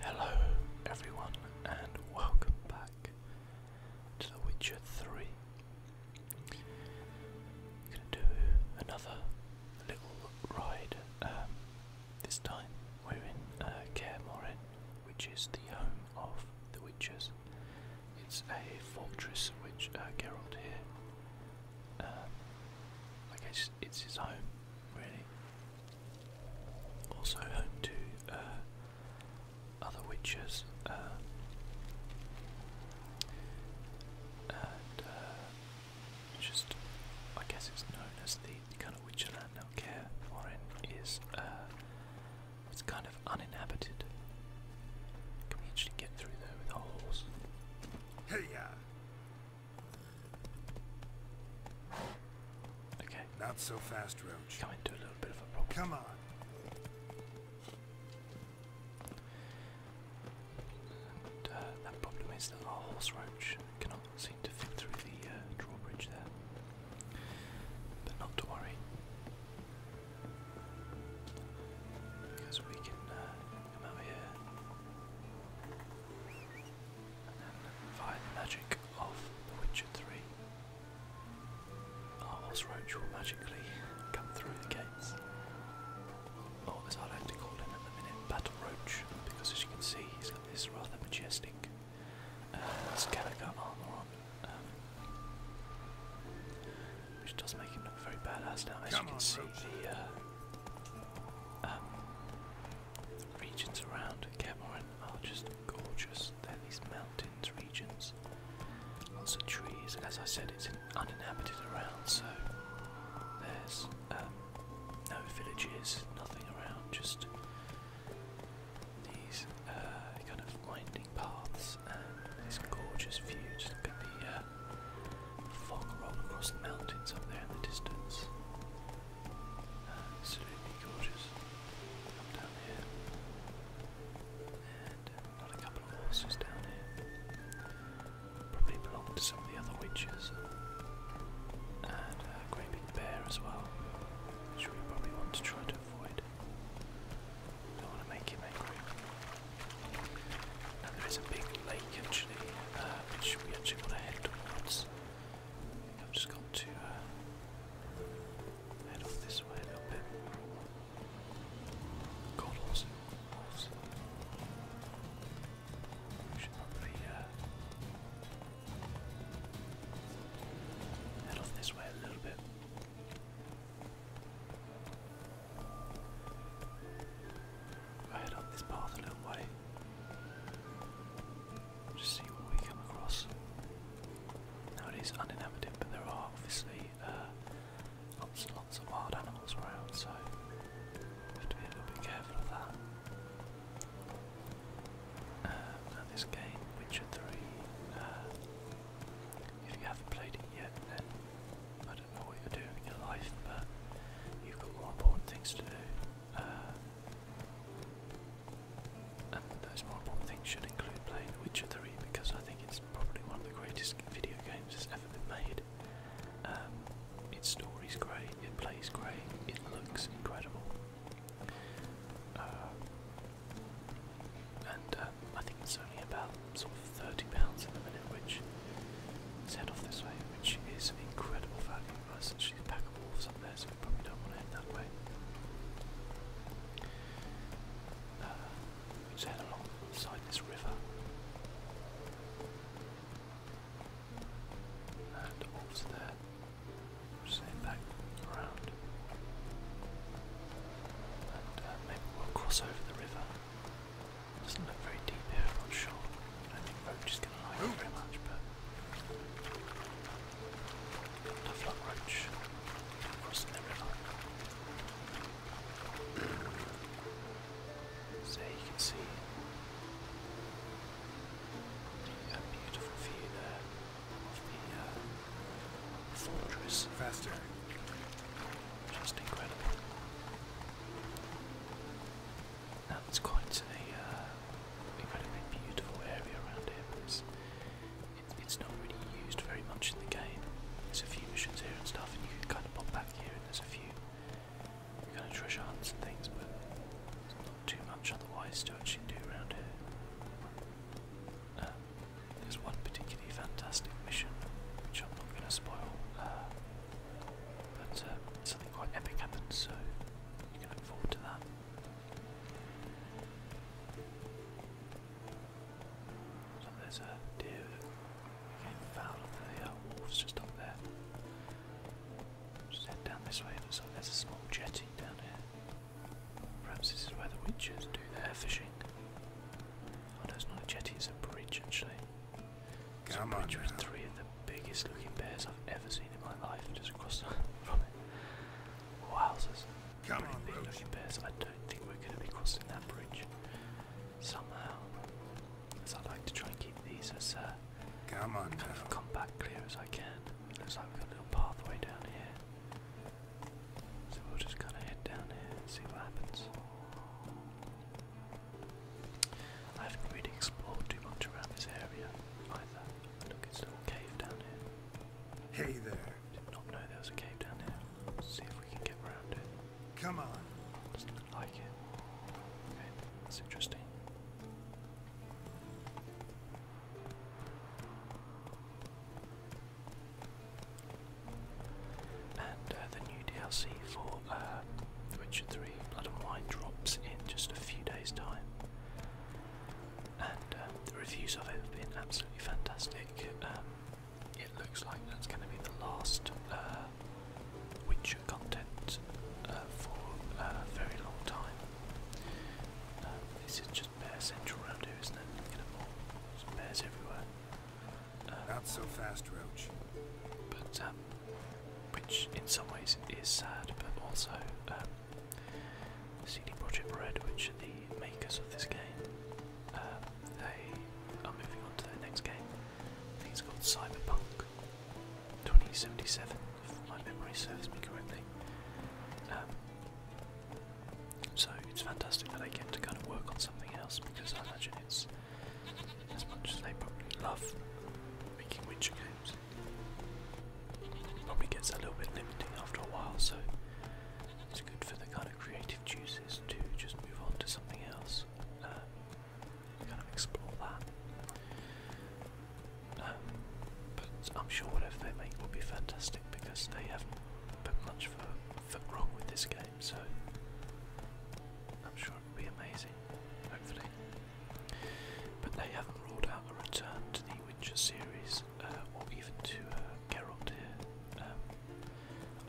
Hello everyone and welcome back to The Witcher 3. I'm gonna do another little ride. Um, this time we're in uh, which is the home of the witches. It's a fortress which uh, Geralt here, um, I guess it's his home really. Also home to uh, other witches uh, and uh, just I guess it's known as the, kind of witcher land now care foreign is it's kind of uninhabited. Can we get through there with a Hey yeah. Okay. Not so fast, Roach. Come into a little bit of a problem. Come on. Uh, that problem is that our horse roach cannot seem to fit through the uh, drawbridge there. But not to worry. Because we can uh, come out here via the magic of The Witcher 3, our horse Roach will magically come through the gates. Or as I like to call him at the minute, Battle Roach, because as you can see he's got this rather majestic uh, armour on. Um, which does make him look very badass now, as you can see the uh, um, regions around Cameron are just gorgeous. They're these mountains regions, lots of trees. As I said, it's uninhabited around, so there's um, no villages, nothing around, just these uh, kind of winding paths and this gorgeous view. Just look at the uh, fog rolling across the mountains up there in the distance. Absolutely gorgeous. Come down here. And got uh, a couple of horses down here. Probably belong to some of the other witches. And a uh, great bear as well, which we probably want to try to avoid. do want to make him angry. Now there is a big lake actually, uh, which we actually want to head towards. I've just got to uh, head off this way a little bit. God, horse, We should probably uh, head off this way a little bit. we head up this path a little way. Just see what we come across. Now it is uninhabited, but there are obviously uh, lots and lots of wild animals around, so we have to be careful of that. Um, and this game, Witcher 3, uh, if you haven't played it yet, then I don't know what you're doing in life, but you've got more important things to do. Uh, and those multiple things should include playing Witcher 3 because I think it's probably one of the greatest video games that's ever been made. Um, its story's great, it plays great, it looks incredible. Uh, and uh, I think it's only about sort of £30 in the minute, which is head off this way, which is incredible value essentially a pack of wolves up there, so we probably don't want to head that way. Uh, we just head alongside this river. And wolves there. will just head back around. And uh, maybe we'll cross over the river. Doesn't look very deep here, not sure. I think roach is going to like it oh. very much, but the flock so you can see a beautiful view there of the fortress. Faster. Just incredible. That's quite a uh, incredibly beautiful area around here, but it's, it's not really used very much in the game. There's a few missions here and stuff, and you can kind of pop back here, and there's a few kind of treasure hunts and things, but it's not too much otherwise to actually do around here. Um, there's one particularly fantastic mission, which I'm not going to spoil, uh, but uh, something quite epic happens, so you can look forward to that. So there's a deer getting fouled up there. The uh, just up there. Just head down this way. Looks like there's a small jetty down here. Perhaps this is where the witches do their fishing. Oh no, not a jetty, it's a bridge actually. Come on with three of the biggest looking bears I've ever seen in my life just across from it. Come on, I don't think we're going to be crossing that bridge somehow. As I like to try and keep these as uh, Come on, clear as I can. looks like we've got a little pathway down here. So we'll just kind of head down here and see what happens. I haven't really explored too much around this area either. Hey there. Did not know there was a cave down here. see if we can get around it. Come on. like it. Okay, that's interesting. And uh, the new DLC for uh, Witcher 3 Blood and Wine drops in just a few days' time and um, the reviews of it have been absolutely fantastic. Um, it looks like that's going to be the last uh, content uh, for a very long time. Um, this is just bear central around here, isn't it? Look at bears everywhere. Not so fast, Roach. But which in some ways is sad, but also CD Projekt Red, which are the makers of this game, uh, they are moving on to their next game. I think it's called Cyberpunk 2077, if my memory serves me correctly. Um, so it's fantastic that they get to kind of work on something else because I imagine it's as much as they probably love making Witcher games. Probably gets a little bit limiting after a while, so it's good for the kind of creative juices to just move on to something else. Um, kind of explore that. Um, but I'm sure whatever they make will be fantastic because they haven't put much for, for wrong with this game, so I'm sure it will be amazing, hopefully. But they haven't ruled out a return to the Witcher series, uh, or even to uh, Geralt um,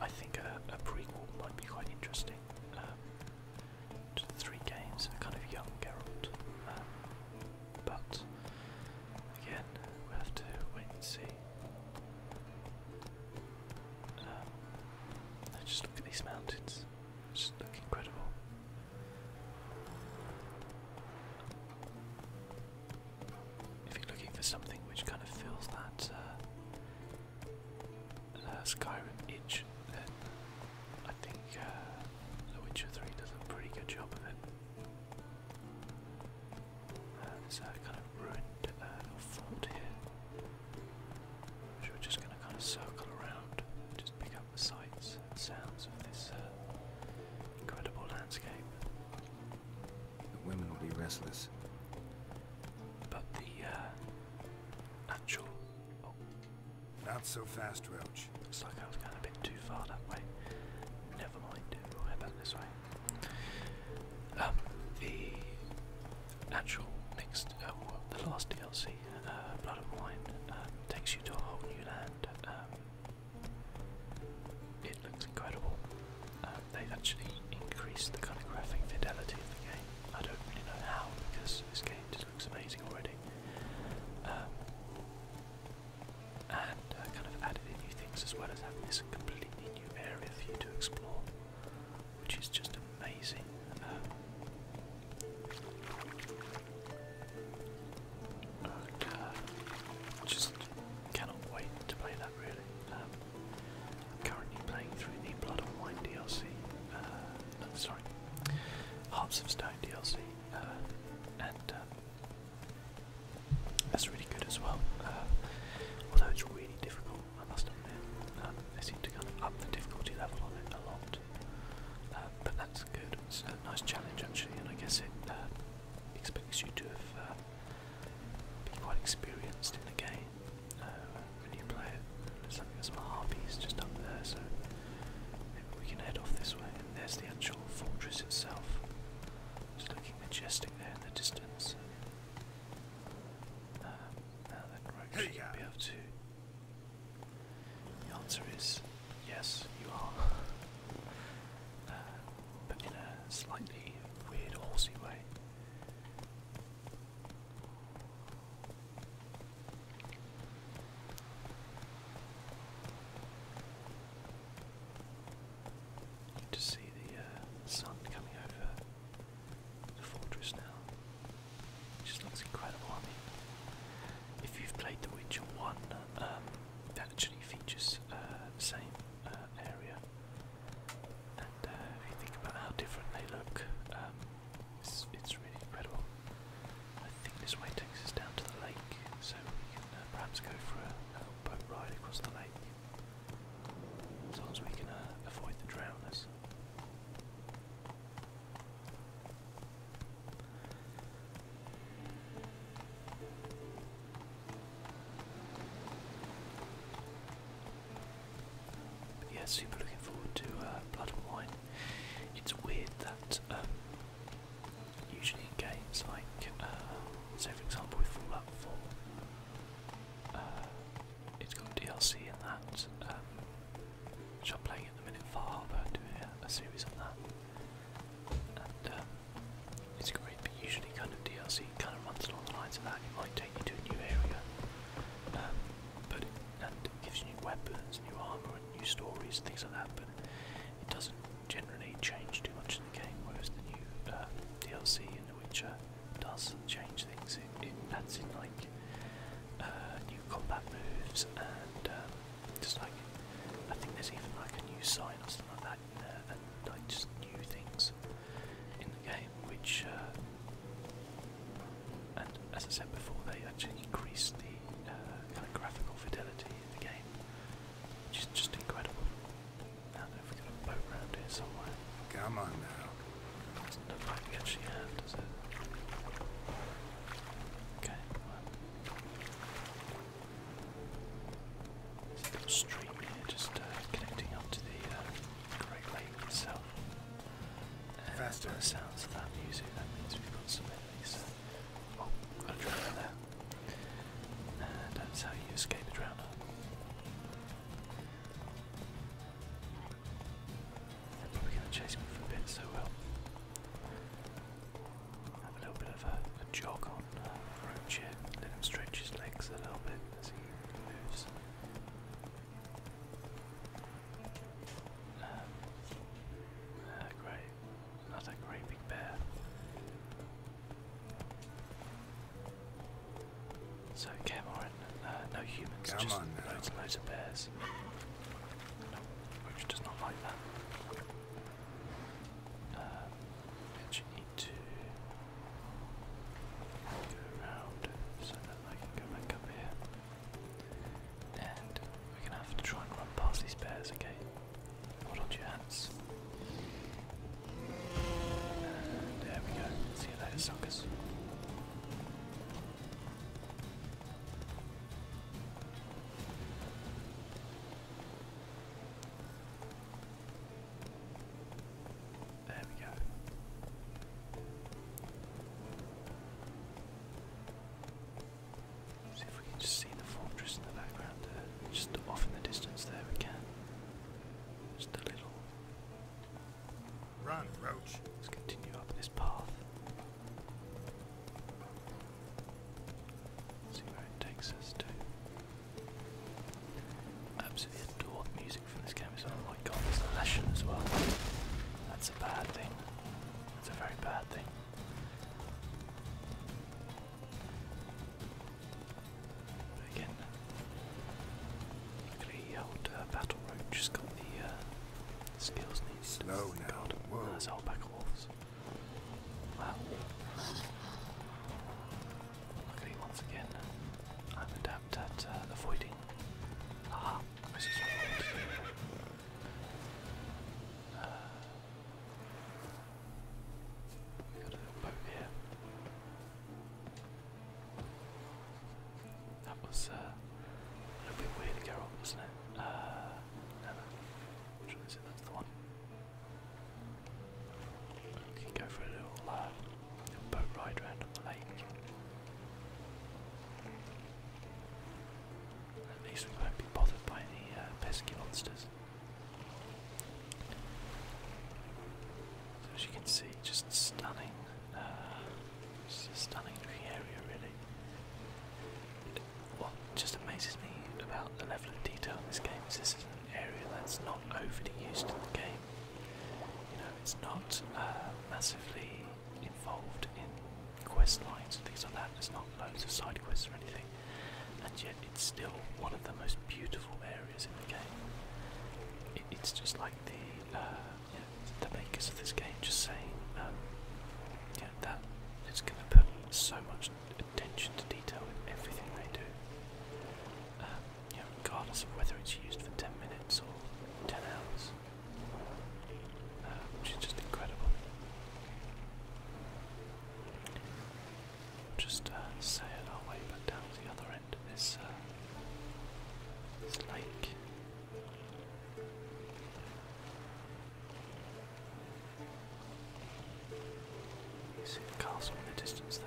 I think a, prequel might be quite interesting um, to the three games, a kind of young Geralt. Um, but again, we have to wait and see. just look at these mountains, just look incredible. If you're looking for something which kind of fills that uh, uh, Skyrim itch, then I think uh, The Witcher 3 does a pretty good job of it. Uh, there's a kind of ruined little uh, fort here, which we're just going to kind of circle around, just pick the sights and sounds of this uh, incredible landscape. The women will be restless. But the uh, natural. Oh. Not so fast, Roach. Looks like I was going a bit too far that way. Never mind, we'll head back this way. Um, the actual next, uh, the last DLC, Blood and Wine, um, takes you to a whole new land. Um, it looks incredible. Um, they actually increased the kind of graphic fidelity of the game. I don't really know how because this game just looks amazing already. Um, and uh, kind of added in new things as well as having this completely new area for you to explore, which is just amazing. Um, uh, just cannot wait to play that really. I'm um, currently playing through the Blood and Wine DLC. Uh, no, sorry, Hearts of Stone DLC. Uh, and um, that's really good as well. although it's really difficult, I must admit. Um, they seem to kind of up the difficulty level on it a lot. Um, but that's good. It's a nice challenge actually, and I guess it um, expects you to have uh, been quite experienced in the game uh, when you play it. Looks like there's some harpies just up there, so maybe we can head off this way. And there's the actual fortress itself. It's looking majestic there in the distance. Um, now then, we should be able to the answer is yes, you are. Uh, but in a slightly weird, horsey way. You just see the uh, sun coming over the fortress now. It looks incredible. I mean, if you've played The Witcher 1, um, that actually features uh, the same uh, area. And uh, if you think about how different they look, um, it's, it's really incredible. I think this way takes us down to the lake, so we can perhaps go for a, boat ride across the lake. As long as we can avoid the drowners yeah, super looking forward to uh, Blood and Wine. It's weird that um, usually in games like, uh, say for example with Fallout 4, uh, it's got DLC in that, um, which I'm playing at the minute, Far I'm doing a series on that. Um, it's great. But usually, kind of DLC kind of runs along the lines of that. It might take you to a new area, um, but and gives you new weapons, new armor, and new stories, things like that. But it doesn't generally change too much in the game. Whereas the new um, DLC in The Witcher does change things. It, it adds in like uh, new combat moves and just like I think there's even like a new sign or something like that in there and like just new things in the game which uh, and as I said before they actually increase the uh, kind of graphical fidelity in the game which is just incredible. I don't know if we got a boat round here somewhere. Come on now. Doesn't look like we actually have, does it? Okay, well stream here, just uh, connecting up to the uh, Great Lake itself. And Faster. sounds of that music, that means we've got some enemies. Uh, oh, got a drowner there. And that's how you escape a drowner. They're probably going to chase me for a bit, so well. Have a little bit of a, jog on uh, roach Let him stretch his legs a little bit as he moves. Um, uh, great, another great big bear. So Cameron, uh, no humans, just loads and loads of bears. No, does not like that. Um, and you need to go around so that I can go back up here. And we're gonna have to try and run past these bears, okay? Hold on your hands. there we go. See you later, suckers. There we go. See if we can just see the fortress in the background uh, Just off in the distance there we can. Just a little. Run, Roach. Let's continue up this path. See where it takes us to. Absolutely adore music from this game as well. Oh my god, a lesson as well. That's a bad thing. That's a very bad thing. again, the old uh, battle roach has got the uh, skills needed. Slow now, God, whoa. There's a Wow. Luckily, once again, I'm adept at uh, avoiding. Aha, uh, That was uh, a little bit weird to go on, wasn't it? Uh, never. Which That's the one. We can go for a little, uh, boat ride round the lake. At least we won't be bothered by the uh, pesky monsters. as you can see, just stunning, uh, just a stunning area really what just amazes me about the level of detail in this game is this is an area that's not overly used in the game. You know, it's not uh, massively involved in quest lines and things like that. There's not loads of side quests or anything, and yet it's still one of the most beautiful areas in the game. it's just like the uh, the makers of this game just saying, um, yeah, that it's going to put so much attention to detail in everything they do. Um, you know, regardless of whether it's used for 10 minutes or 10 hours, uh, just incredible. Just uh, sail our way back down to the other end of this, uh, this lake. You see the castle in the distance there.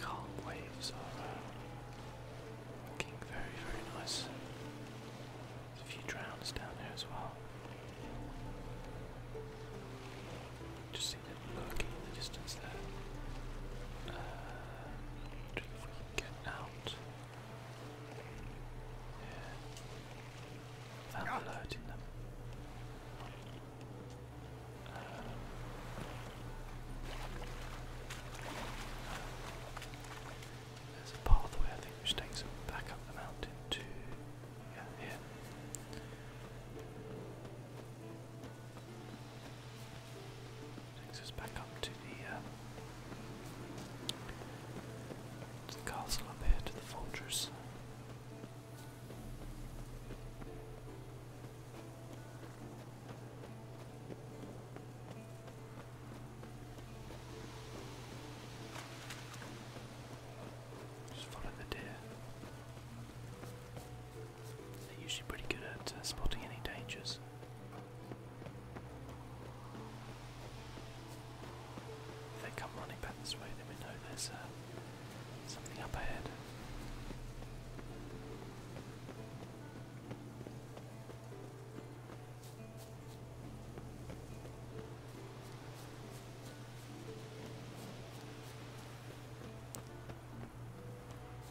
calm waves uh, looking very, very nice. a few drowns down there as well. Just see them lurking in the distance there. Uh, if we can get out. Yeah. Without ah. alerting them. Uh, there's a pathway, I think, which takes them back up the mountain to. Yeah, here. Takes us back up to the, uh, to the castle up here, to the fortress. Just follow the deer. They're usually pretty good at uh, spotting any dangers. If they come running back this way, then we know there's uh, something up ahead.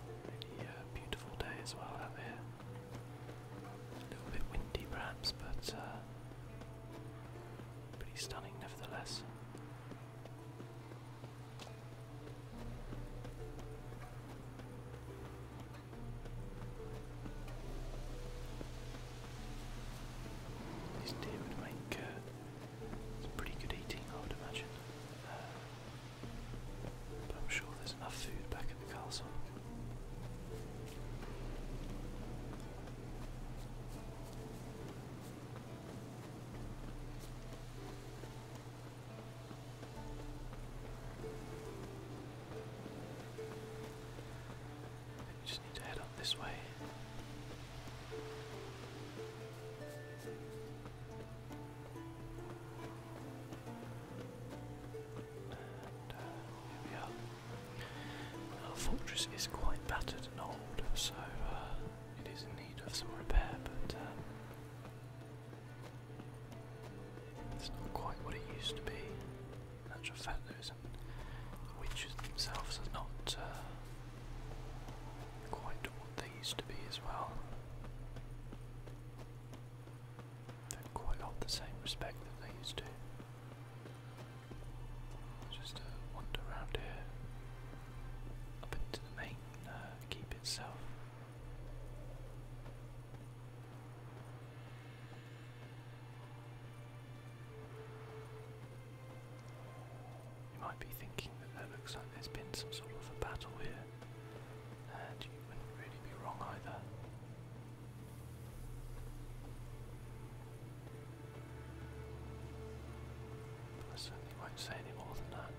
Really uh, beautiful day as well out here. A little bit windy perhaps, but uh, pretty stunning nevertheless. This deer would make uh, pretty good eating, I would imagine. Uh, I'm sure there's enough food back at the castle. We just need to head up this way. And Our fortress is quite battered and old, so uh, it is in need of some repair, but uh, it's not quite what it used to be. Natural actual and those witches themselves are not uh, quite what they used to be as well don't quite hold the same respect that they used to. Just uh, wander around here, up into the main uh, keep itself. You might be thinking, that looks like there's been some sort of a battle here, and you wouldn't really be wrong either. I certainly won't say any more than that.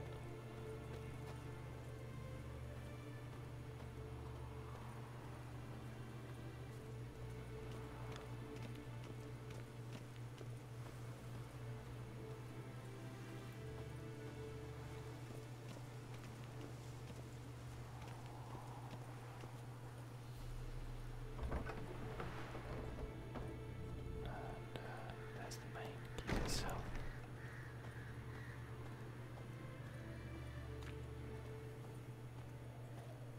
That's the main key itself.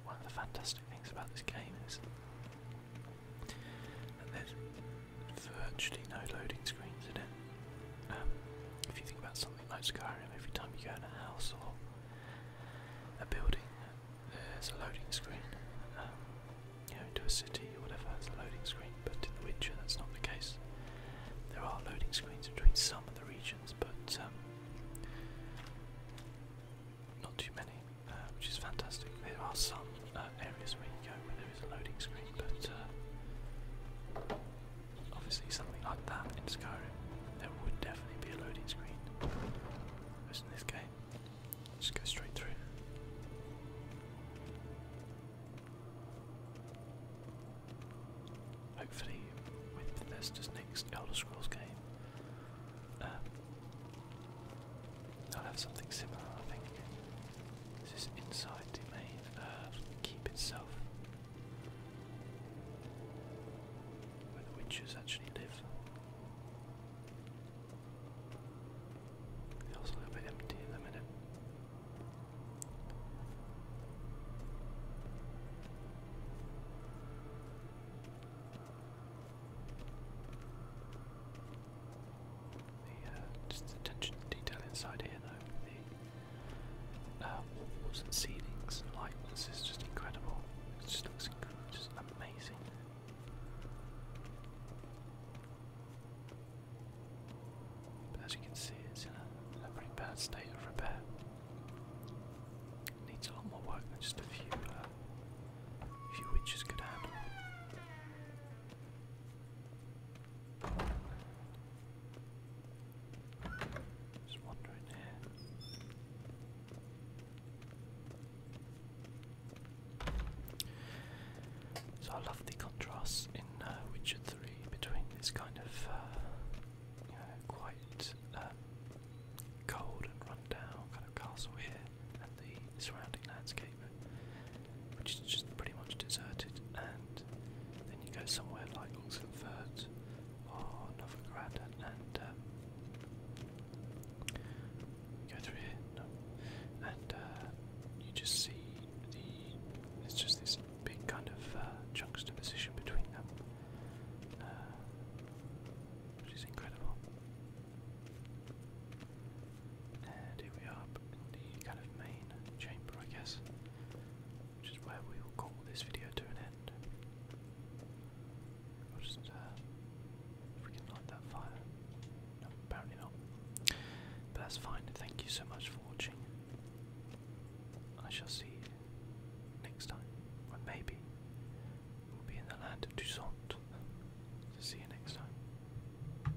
One of the fantastic things about this game is that virtually no loading screens in it. Um, if you think about something like Skyrim, every time you go in a house or a building, there's a loading screen. Um, you know, into a city or whatever there's a loading screen, but in The Witcher that's not the case. There are loading screens between some of the regions, but um, not too many, uh, which is fantastic. There are some uh, areas where you go where there is a loading screen, but uh, obviously something like that in Skyrim, there would definitely be a loading screen. Whereas in this game, just go straight through. Hopefully, with Bethesda's next Elder Scrolls game, they'll uh, have something similar, I think. This Is inside the main uh, keep itself? Where the witches actually live. It was a little empty in the minute. The, uh, just attention to detail inside here though, the um, walls and ceilings and light, is just incredible. It just looks amazing. But as you can see, it's in a, pretty bad state of repair. needs a lot more work than just a few, uh, few witches could handle. So I love the contrast in uh, Witcher 3 between this kind of, uh, quite um, cold and rundown kind of castle here and the surrounding landscape which is just pretty much deserted, and then you go somewhere like Oxenford or Novigrad, and um, go through here, and uh, you just see the it's just this big kind of uh, juxtaposition between them, uh, which is incredible. And here we are in the kind of main chamber, I guess, which is where we will call this video to an end. I'll just, uh, if we can light that fire. apparently not. But that's fine, thank you so much for watching. I shall see you next time, or maybe we'll be in the land of Dusant. see you next time.